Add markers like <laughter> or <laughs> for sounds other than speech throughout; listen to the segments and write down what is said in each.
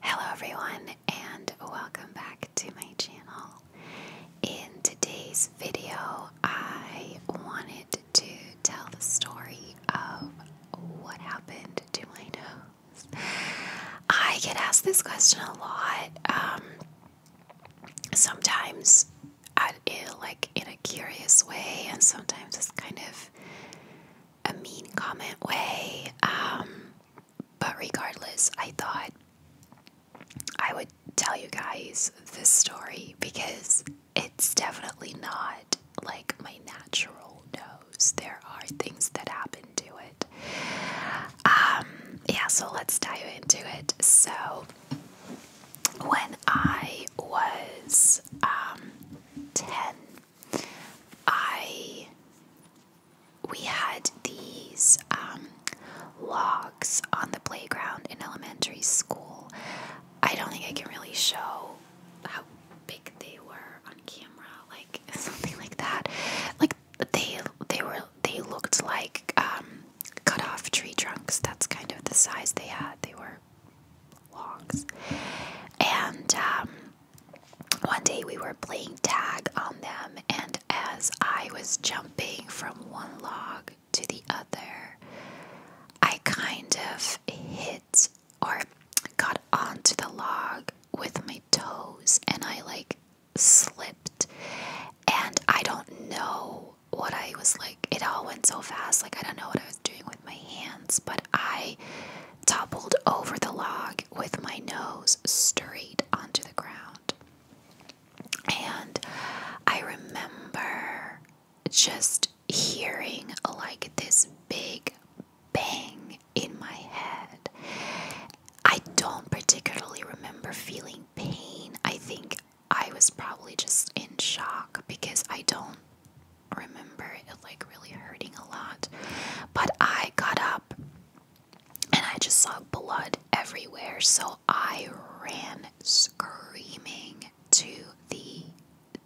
Hello everyone and welcome back to my channel. In today's video, I wanted to tell the story of what happened to my nose. I get asked this question a lot. Um, sometimes at it, like in a curious way and sometimes it's kind of a mean comment way. Um, but regardless, I thought I would tell you guys this story because it's definitely not like my natural nose. There are things that happen to it. Um, yeah, so let's dive into it. So, when I was um, 10, I we had these um, logs on the playground in elementary school. I don't think I can really show how big they were on camera, like <laughs> something like that. Like they they were they looked like um, cut off tree trunks. That's kind of the size they had. They were logs, and um, one day we were playing tag on them, and as I was jumping from one log to the other, I kind of hit or got onto the log with my toes and I like slipped. And I don't know what I was like, it all went so fast. Like, I don't know what I was doing with my hands, but I toppled over the log with my nose straight onto the ground. And I remember just hearing like this big bang in my head. I don't particularly remember feeling pain. I think I was probably just in shock because I don't remember it like really hurting a lot. But I got up and I just saw blood everywhere, so I ran screaming to the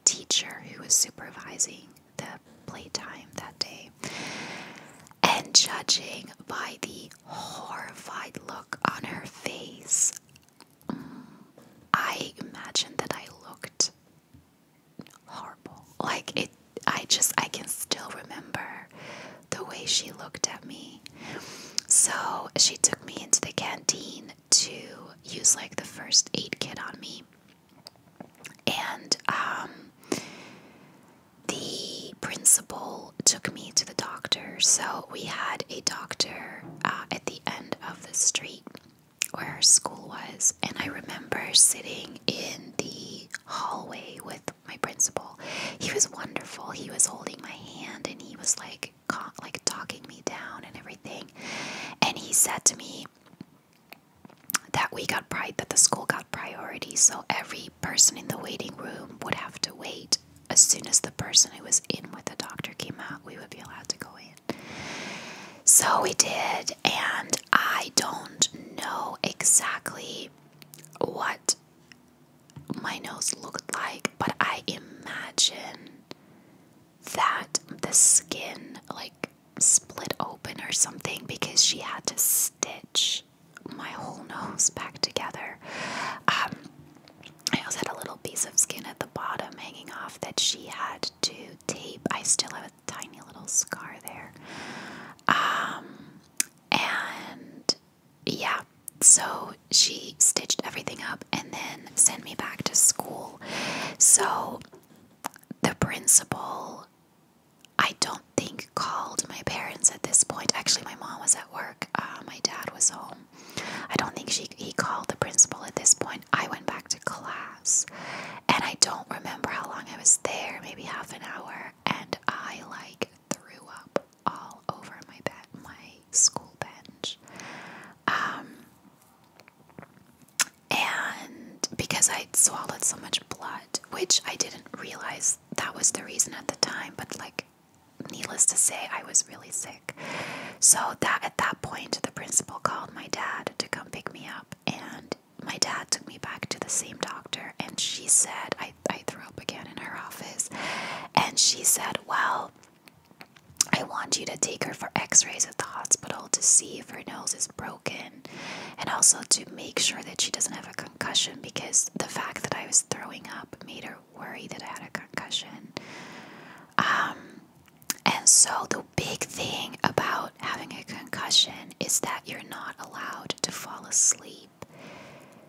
teacher who was supervising the playtime that day. And judging by the horrified look on her face, I imagined that I looked horrible. Like it I just I can still remember the way she looked at me. So she took me into the canteen to use like the first aid kit on me. And um the principal took me to the doctor. So we had a doctor uh, at the end of the street where our school was, and I remember sitting in the hallway with my principal. He was wonderful. He was holding my hand, and he was like, like talking me down and everything. And he said to me that we got priority. that the school got priority, so every person in the waiting room would have to wait. As soon as the person who was in with the doctor came out, we would be allowed to go in. So we did, and I don't know exactly what my nose looked like, but I imagine that the skin like split open or something because she had to stitch my whole nose back together. Um, I also had a little piece of skin at the bottom hanging off that she had to tape. I still have tiny little scar there. Um, and yeah, so she stitched everything up and then sent me back to school. So the principal, I don't think, called my parents at this point. Actually, my mom was at work, uh, my dad was home. I don't think she he called the principal at this point. I went back to class. And I don't remember how long I was there, maybe half an hour, and I like threw up all over my bed, my school bench. Um, and because i swallowed so much blood, which I didn't realize that was the reason at the time, but like needless to say, I was really sick. So that at that point the principal called my dad to come pick me up and my dad took me back to the same doctor and she said I, I threw up again in her office and she said well I want you to take her for x-rays at the hospital to see if her nose is broken and also to make sure that she doesn't have a concussion because the fact that I was throwing up made her worry that I had a concussion um and so, the big thing about having a concussion is that you're not allowed to fall asleep.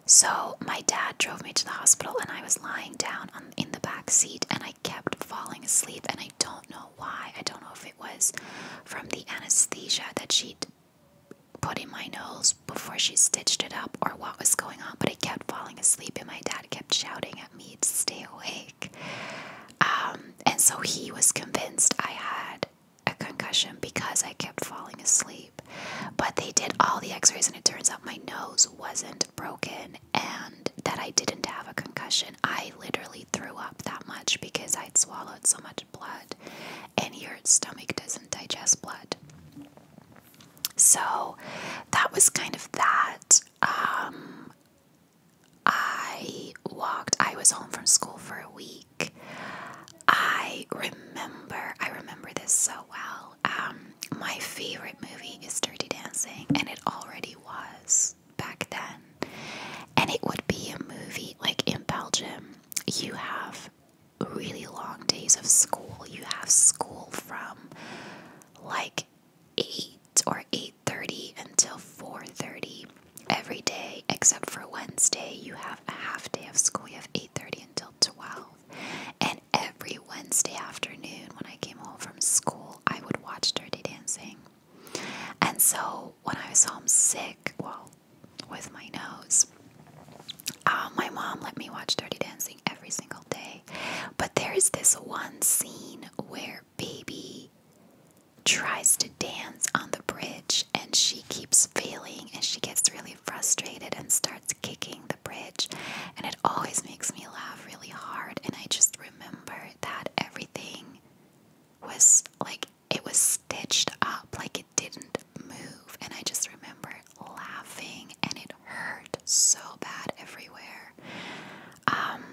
So, my dad drove me to the hospital, and I was lying down in the back seat, and I kept falling asleep. And I don't know why. I don't know if it was from the anesthesia that she'd put in my nose before she stitched it up or what was going on, but I kept falling asleep, and my dad kept shouting at me to stay awake. Um, and so he was convinced I had a concussion because I kept falling asleep. But they did all the x rays, and it turns out my nose wasn't broken and that I didn't have a concussion. I literally threw up that much because I'd swallowed so much blood, and your stomach doesn't digest blood. So that was kind of that. Um, I walked, I was home from school for a week. I remember, I remember this so well. Um, my favorite movie is Dirty Dancing, and it already was back then. And it would be a movie like in Belgium, you have really long days of school. You have school from like 8 or 8 8:30 until 4:30 every day except for Wednesday. You have a half day of school. You have 8:30 until 12. And every Wednesday afternoon when I came home from school, I would watch Dirty Dancing. And so when I was home sick, well, with my nose, um, my mom let me watch Dirty Dancing every single day. But there is this one scene where baby tries to dance on the bridge and she keeps failing and she gets really frustrated and starts kicking the bridge and it always makes me laugh really hard and I just remember that everything was like it was stitched up like it didn't move and I just remember laughing and it hurt so bad everywhere um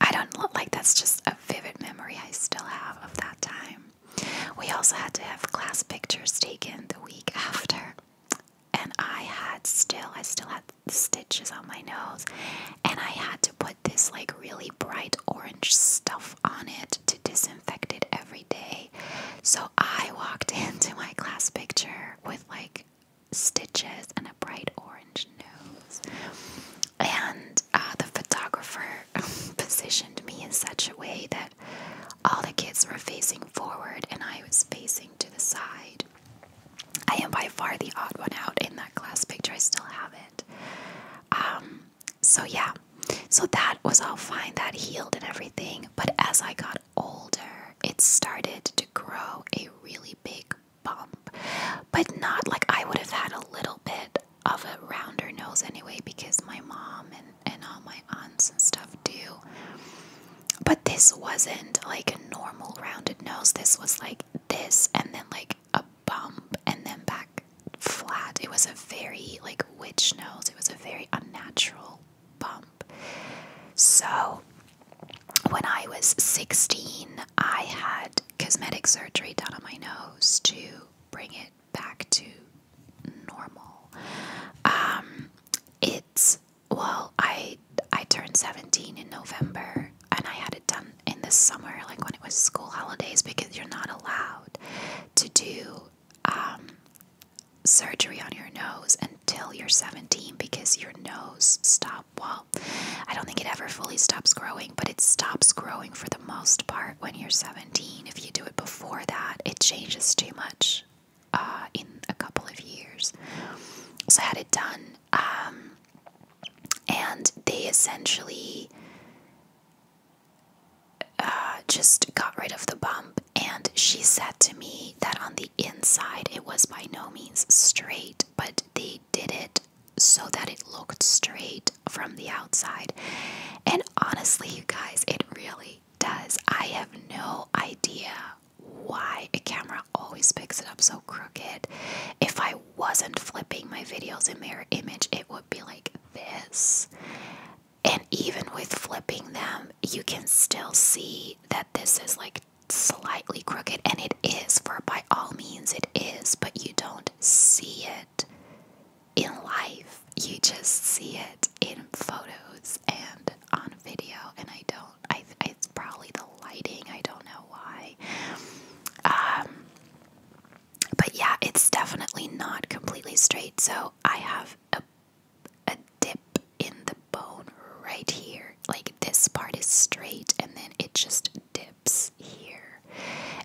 I don't look like that's just a vivid memory I still have of that time. We also had to have class pictures taken the week after. And I had still, I still had stitches on my nose. And I had to put this like really bright orange stuff on it to disinfect it every day. So I walked <laughs> into my class picture with like stitches and a bright orange nose. And uh, the photographer <laughs> positioned me in such a way that all the kids were facing forward and I was facing to the side. I am by far the odd one out in that class picture. I still have it. Um, so, yeah, so that was all fine. That healed and everything. But as I got older, it started to grow a really big bump, but not like I would have had a little bit of a rounder nose anyway because my mom and, and all my aunts and stuff do. But this wasn't like a normal rounded nose. This was like this and then like a bump and then back flat. It was a very like witch nose. It was a very unnatural bump. So, when I was 16, I had cosmetic surgery done on my nose to bring it back to normal. Um, it's well, I I turned 17 in November, and I had it done in the summer, like when it was school holidays, because you're not allowed to do um, surgery on your nose until you're 17 because your nose stops well, I don't think it ever fully stops growing, but it stops growing for the most part when you're 17. If you do it before that, it changes too much uh, in a couple of years. So I had it done, um, and they essentially uh, just got rid of the bump. And she said to me that on the inside, it was by no means straight, but they did it so that it looked straight from the outside. And honestly, you guys, it really does. I have no idea why a camera always picks it up so crooked. If I wasn't flipping my videos in mirror image, it would be like this. And even with flipping them, you can still see that this is like slightly crooked, and it is, for by all means it is, but you don't see it in life. You just see it in photos and on video, and I don't, I, it's probably the lighting, I don't know why. Um, but yeah, it's definitely not completely straight, so I have a a dip in the bone right here. Like this part is straight and then it just dips here.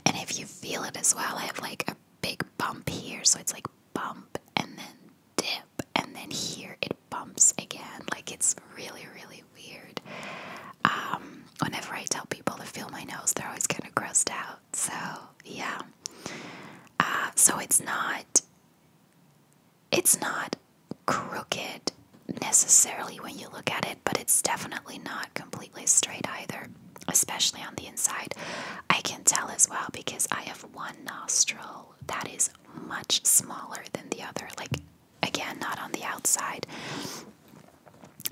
And if you feel it as well, I have like a big bump here. So it's like bump and then dip. And then here it bumps again. Like it's really, really weird. Um, whenever I tell people to feel my nose, they're always kind of grossed out. So yeah. Uh, so it's not it's not crooked necessarily when you look at it, but it's definitely not completely straight either, especially on the inside. I can tell as well because I have one nostril that is much smaller than the other, like again, not on the outside.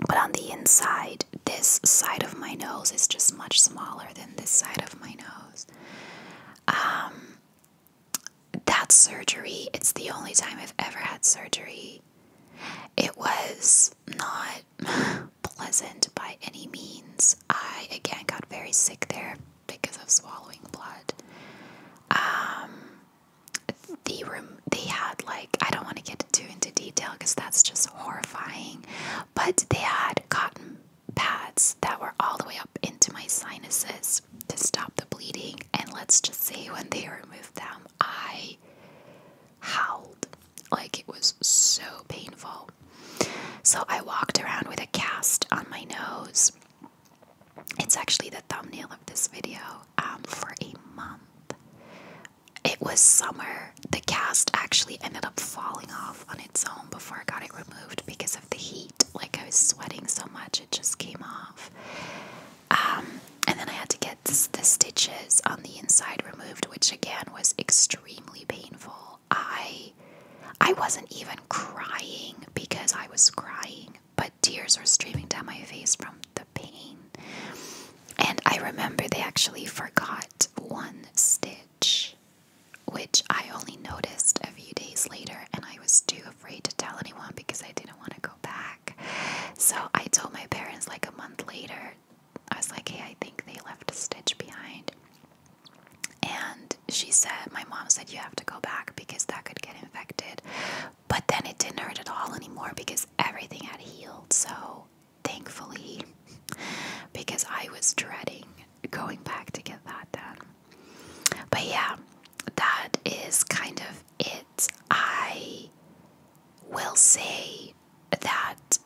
But on the inside, this side of my nose is just much smaller than this side of my nose. Um, that surgery, it's the only time I've ever had surgery. It was not <laughs> pleasant by any means. I again got very sick there because of swallowing blood. Um, the room they had like I don't want to get too into detail because that's just horrifying, but they had cotton pads that were all the way up into my sinuses to stop the bleeding. And let's just say, when they removed them, I howled like it was so painful. So I walked around with a cast on my nose. It's actually the thumbnail of this video um, for a month. It was summer. The cast actually ended up falling off on its own before I got it removed because of the heat like I was sweating so much it just came off. Um, and then I had to get the stitches on the inside removed, which again was extremely painful. I I wasn't even crying because I was crying, but tears were streaming down my face from the pain. And I remember they actually forgot one stitch which I only noticed a few days later, and I was too afraid to tell anyone because I didn't want to go back. So I told my parents like a month later. I was like, hey, I think they left a stitch behind. And she said, my mom said, you have to go back because that could get infected. But then it didn't hurt at all anymore because everything had healed. So thankfully, <laughs> because I was dreading going back to get that done. But yeah, that is kind of it. I will say that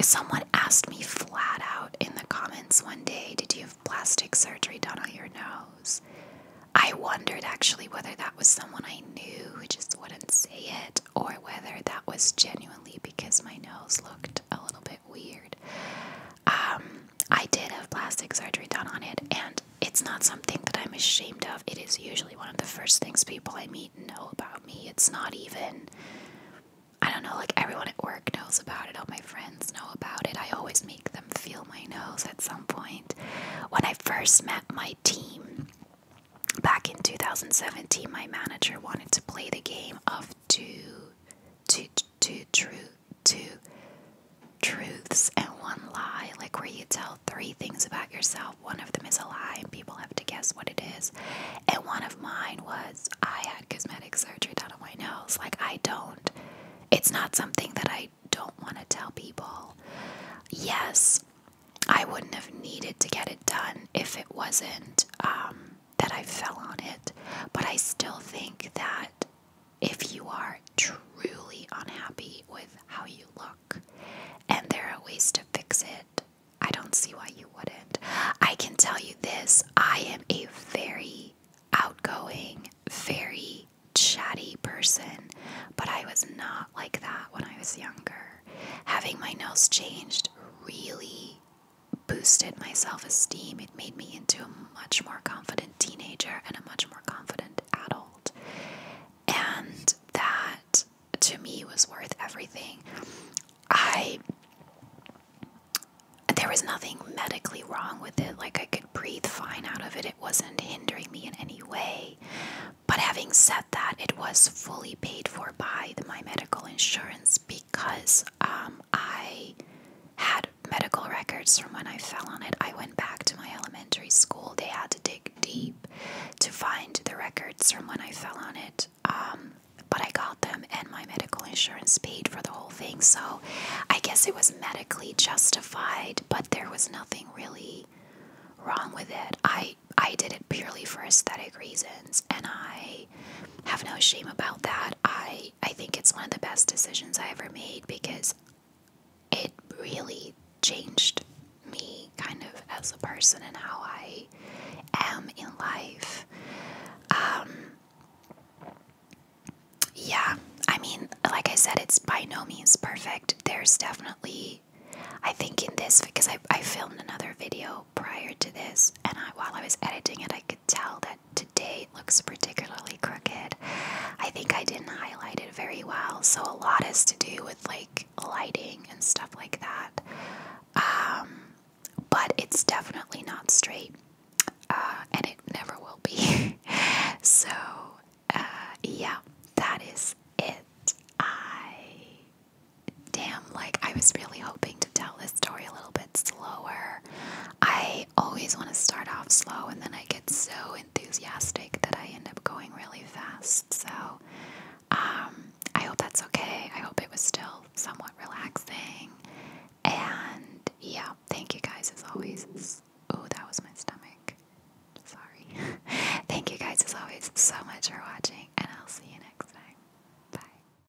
someone asked me flat out in the comments one day, Did you have plastic surgery done on your nose? I wondered actually whether that was someone I knew who just wouldn't say it or whether that was genuinely because my nose looked a little bit bit weird. Um, I did have plastic surgery done on it, and it's not something that I'm ashamed of. It is usually one of the first things people I meet know about me. It's not even, I don't know, like everyone at work knows about it, all my friends know about it. I always make them feel my nose at some point. When I first met my team, Back in 2017, my manager wanted to play the game of two, two, two, two, two truths and one lie, like where you tell three things about yourself. One of them is a lie, and people have to guess what it is. And one of mine was I had cosmetic surgery done on my nose. Like, I don't, it's not something that I don't want to tell people. Yes, I wouldn't have needed to get it done if it wasn't um, that I fell on it, but I still think that if you are truly unhappy with how you look and there are ways to fix it, I don't see why you wouldn't. I can tell you this I am a very outgoing, very chatty person, but I was not like that when I was younger. Having my nails changed really boosted my self esteem. It made me into a much more confident teenager and a much more confident adult. And that to me was worth everything. I there was nothing medically wrong with it. Like I could breathe fine out of it. It wasn't hindering me in any way. But having said that, it was fully paid for by my medical insurance because um, I had medical records from when I fell on it. I went back to my elementary school. They had to dig deep to find the records from when I fell on it. Um, but I got them, and my medical insurance paid for the whole thing. So I guess it was medically justified, but there was nothing really wrong with it. I I did it purely for aesthetic reasons, and I have no shame about that. I I think it's one of the best decisions I ever made because it really changed me kind of as a person and how I am in life. Um, yeah, I mean, like I said, it's by no means perfect. There's definitely I think in this because I I filmed another video prior to this, and while I was editing it, I could tell that today looks particularly crooked. I think I didn't highlight it very well, so a lot has to do with like lighting and stuff like that. Um, but it's definitely not straight, uh, and it never will be. <laughs> so, uh, yeah, that is it. I. Damn, like I was really hoping to tell this story a little bit slower. I always want to start off slow and then I get so enthusiastic that I end up going really fast. So um, I hope that's okay. I hope it was still somewhat relaxing. And yeah, thank you guys as always. Oh, that was my stomach. Sorry. <laughs> thank you guys as always so much for watching, and I'll see you next time. Bye.